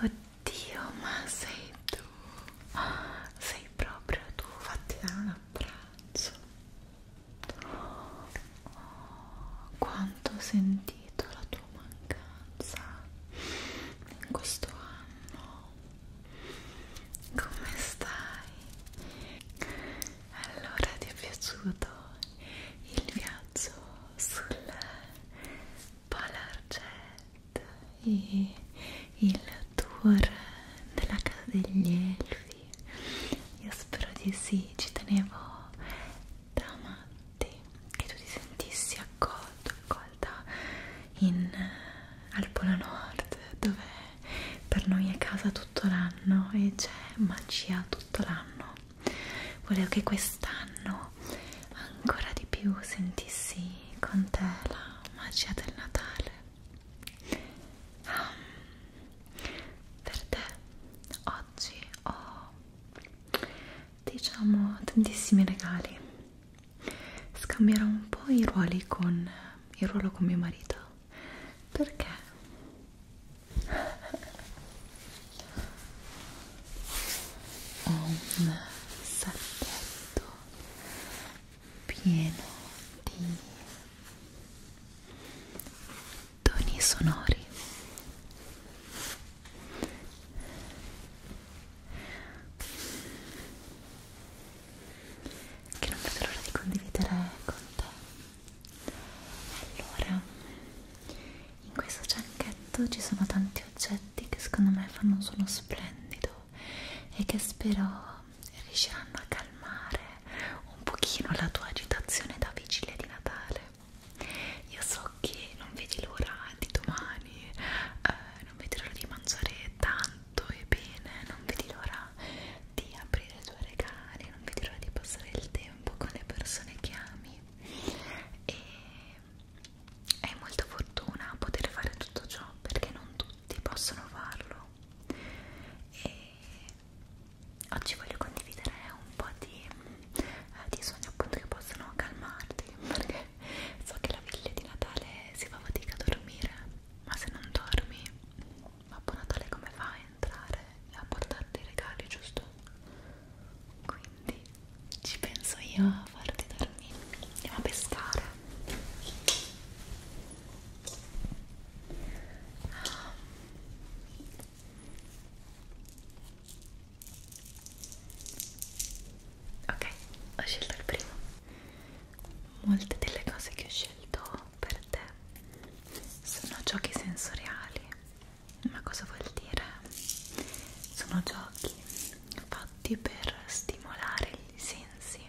Oddio, ma sei tu, sei proprio tu, fatti dare un abbraccio. Oh, quanto ho sentito la tua mancanza in questo anno come stai? Allora ti è piaciuto il viaggio sul Polar Jet e il tour della casa degli elfi? Io spero di sì, ci tenevo da matti che tu ti sentissi accolto, accolta Alta in, eh, al Polo Nord dove per noi è casa tutto l'anno e c'è magia tutto l'anno volevo che quest'anno ancora di più sentissi con te la magia del Natale um, per te oggi ho diciamo tantissimi regali scambierò un po' i ruoli con il ruolo con mio marito perché ho un sacchetto pieno di toni sonori che non vedo l'ora di condividere con te allora in questo giacchetto ci sono tanti oggetti che secondo me fanno un suono splendido e che spero riusciranno a calmare un pochino la tua agitazione da vigilia di Natale io so che non vedi l'ora di domani eh, non vedi l'ora di mangiare tanto fatto e bene, non vedi l'ora di aprire i tuoi regali, non vedi l'ora di passare il tempo con le persone che ami e hai molta fortuna a poter fare tutto ciò perché non tutti possono farlo e oggi voglio condividere un po' di, eh, di sogni appunto che possono calmarti perché so che la viglia di Natale si fa fatica a dormire ma se non dormi Babbo Natale come fa a entrare e a portarti i regali giusto? quindi ci penso io a farti dormire andiamo a pescare ah. Ok, ho scelto il primo molte delle cose che ho scelto per te sono giochi sensoriali ma cosa vuol dire? sono giochi fatti per stimolare i sensi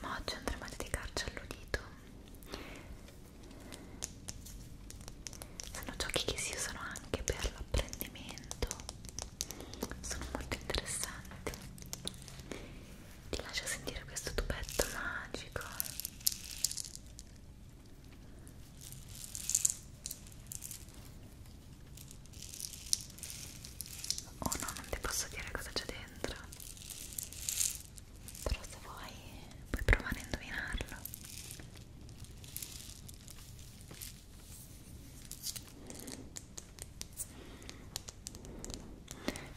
ma oggi andremo a dedicarci all'udito sono giochi che si usano anche per l'apprendimento sono molto interessanti ti lascio sentire questo tubetto magico oh no non ti posso dire cosa c'è dentro però se vuoi puoi provare a indovinarlo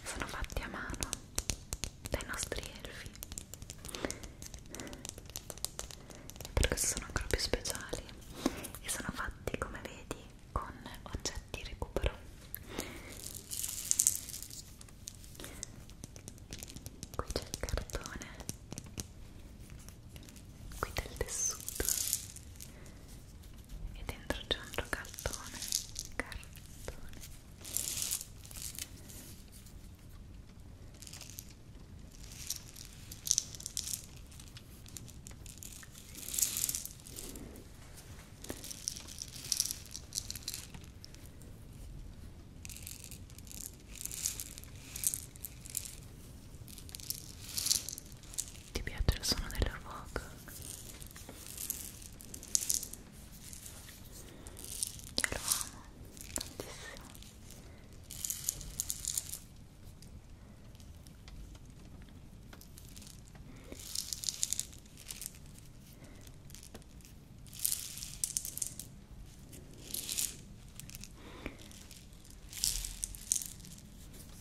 sono fatti a mano dai nostri elfi e per questo sono ancora più speciali e sono fatti come vedi con oggetti recupero qui c'è il cartone qui del tessuto e dentro c'è un cartone cartone ti piace il suono della foca? Io lo amo tantissimo.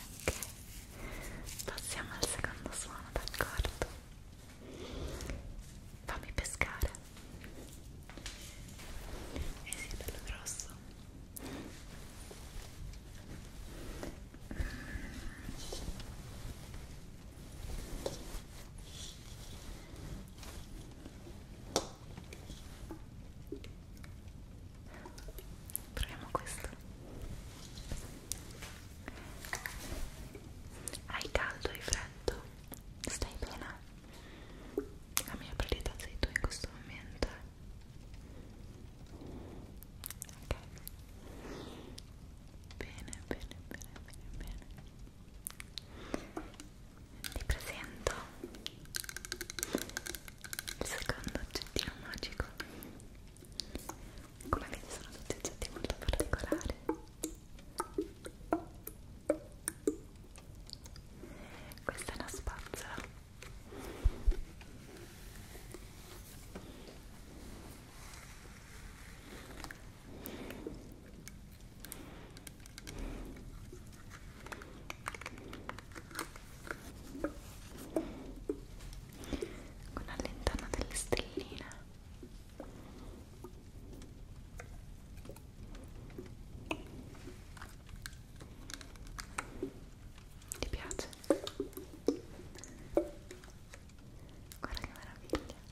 Ok, passiamo al secondo suono, d'accordo? Fammi pescare. Eh sì, è bello grosso. Proviamo questo. Hai caldo, hai freddo? Stai bene? La mia priorità sei tu in questo momento. Ok. Bene, bene, bene, bene, bene vi presento il secondo oggettino magico come vedete sono tutti oggetti molto particolari questa è una spazzola con la lentana delle stelline ti piace? guarda che meraviglia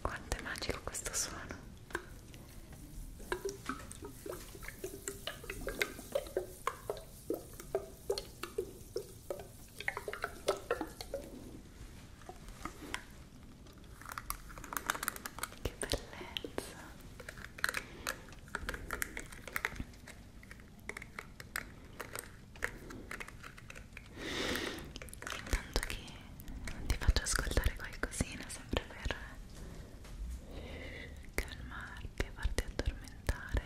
Quanto è magico questo suono. Che bellezza intanto che ti faccio ascoltare qualcosina sempre per calmarti e farti addormentare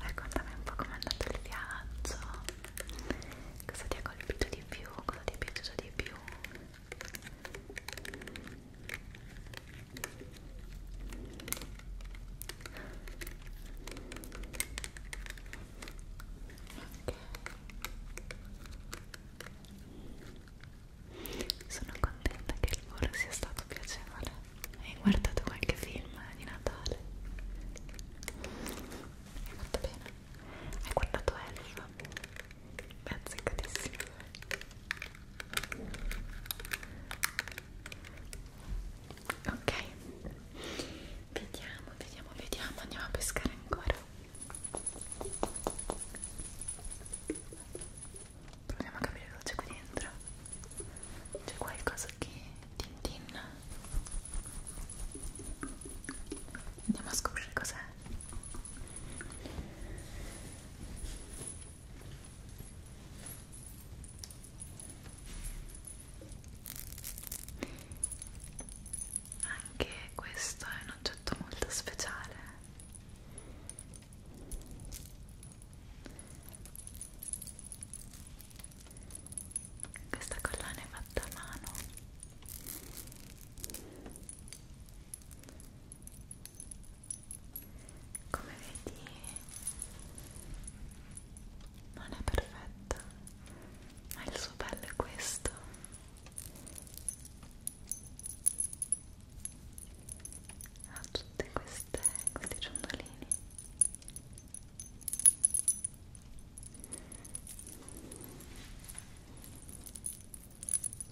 raccontami un po' com'è andato il viaggio cosa ti ha colpito di più cosa ti è piaciuto di più sono contenta che il volo sia stato piacevole. Hai guardato qualche film di Natale? Hai fatto bene? Hai guardato Elf? Beh, azzeccatissimo ok vediamo vediamo vediamo andiamo a pescare ancora proviamo a capire cosa c'è qui dentro c'è qualcosa che tintin andiamo a scoprire cos'è anche questo è un oggetto molto speciale. Questa collana è fatta a mano come vedi non è perfetta ma il suo bello è questo ha tutti questi ciondolini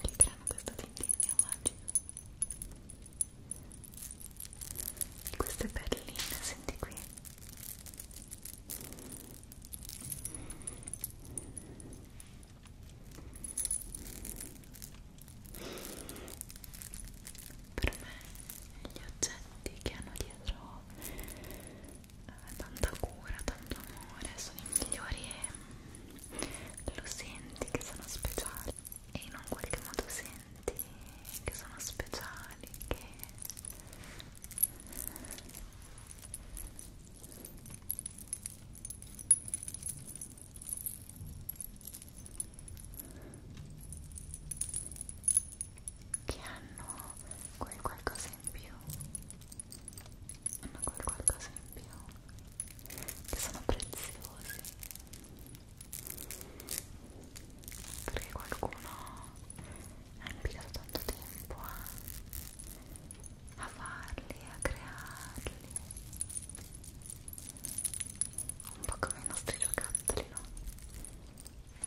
che creano questo tintinnio magico queste perline, senti qui per me gli oggetti che hanno dietro eh, tanta cura, tanto amore sono i migliori e lo senti che sono speciali e in un qualche modo senti che sono speciali, che che hanno quel qualcosa in più hanno quel qualcosa in più che sono preziosi perché qualcuno ha impiegato tanto tempo a, a farli, a crearli un po' come i nostri giocattoli, no?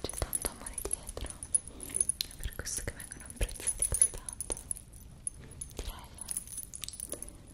C'è tanto amore dietro, è per questo che vengono apprezzati così tanto direi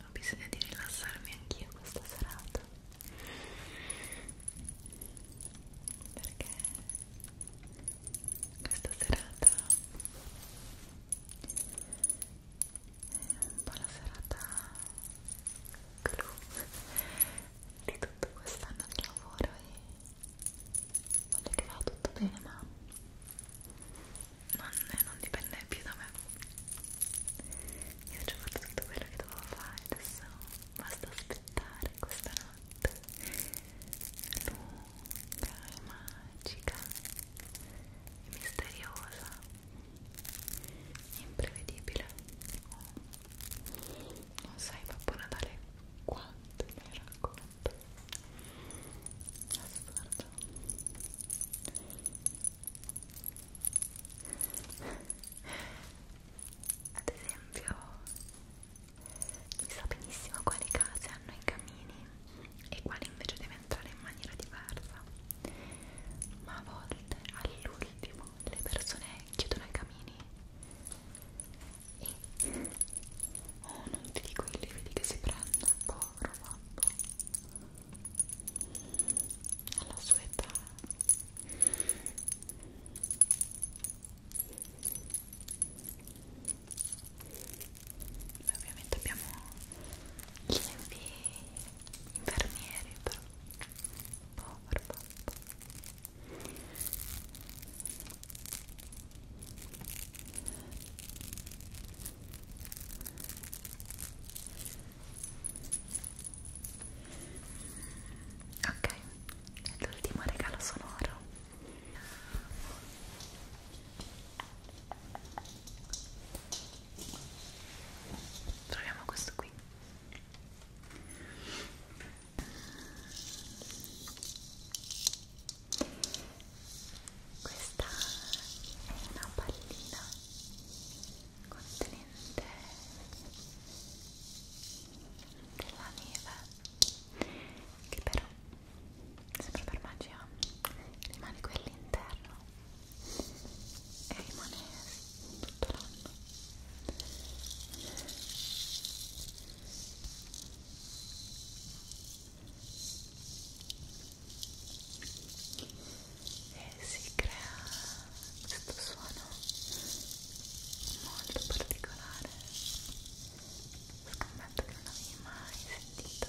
Ho bisogno di rilassarmi anch'io questa serata perché questa serata è un po' la serata clou di tutto quest'anno di lavoro e voglio che vada tutto bene ma non, non dipende più da me io ho già fatto tutto quello che dovevo fare adesso basta aspettare questa notte lunga e magica e misteriosa imprevedibile oh non sai Babbo Natale quanto mi racconta adesso guarda ad esempio si sa benissimo quali case hanno i camini e quali invece deve entrare in maniera diversa ma a volte all'ultimo le persone chiudono i camini e oh non ti dico i lividi che si prende povero babbo alla sua età Beh, ovviamente abbiamo gli infermieri però povero babbo troppo ok l'ultimo regalo sonoro troviamo questo qui questa è una pallina contenente della neve che però sempre per magia rimane qui all'interno e rimane tutto l'anno e eh, si crea questo suono molto particolare scommetto che non l'avevi mai sentito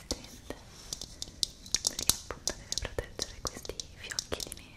resistente perché appunto deve proteggere questi fiocchi di neve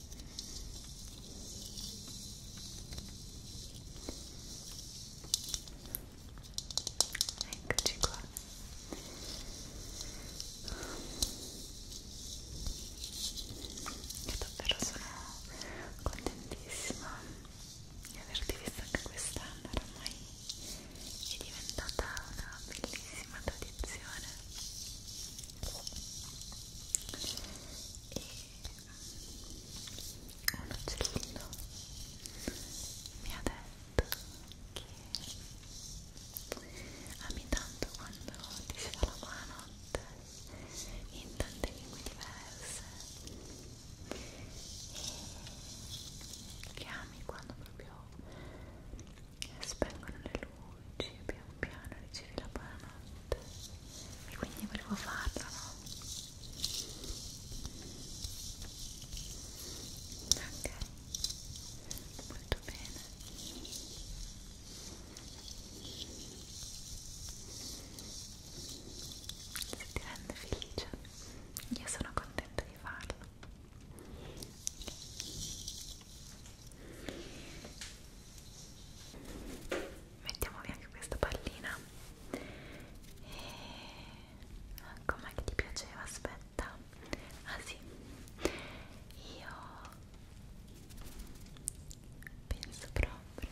Eccoci qua. Io davvero sono contentissima di averti visto anche quest'anno, ormai è diventata una bellissima tradizione e un uccellino mi ha detto che ami tanto quando ti si fa la buonanotte in tante lingue diverse e che ami quando proprio spengono le luci e pian piano ricevi la buonanotte e quindi volevo farla, no? Ok, molto bene. Se ti rende felice, io sono contenta di farlo mettiamo via anche questa pallina e com'è che ti piaceva? aspetta ah sì io penso proprio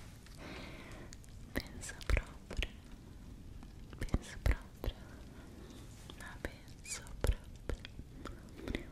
penso proprio penso proprio ma ah, penso proprio penso proprio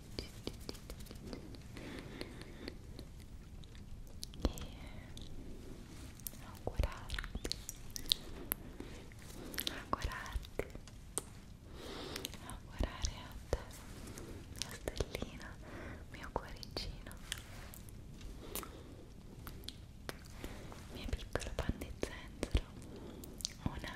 augurarti augurarti augurare a te mia stellina mio cuoricino mia piccola pan di zenzero una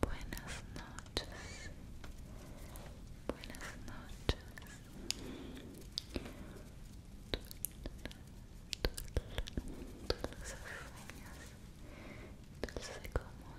Buenas noches. Buenas noches. Dulce como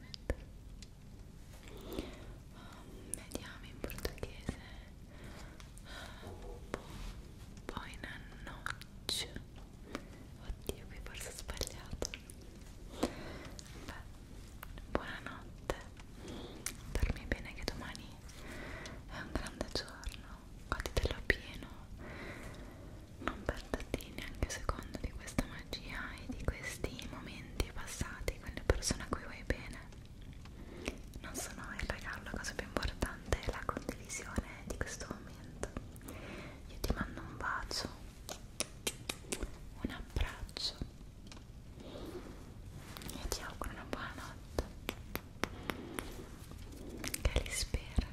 veramente um, vediamo in portoghese poi noce oddio qui forse ho sbagliato beh buonanotte dormi bene che domani è un grande giorno goditelo pieno non perderti neanche un secondo di questa magia e di questi momenti passati con le persone a cui vuoi bene non sono il regalo, la cosa più importante è la condivisione di questo momento io ti mando un bacio un abbraccio e ti auguro una buona notte che li spera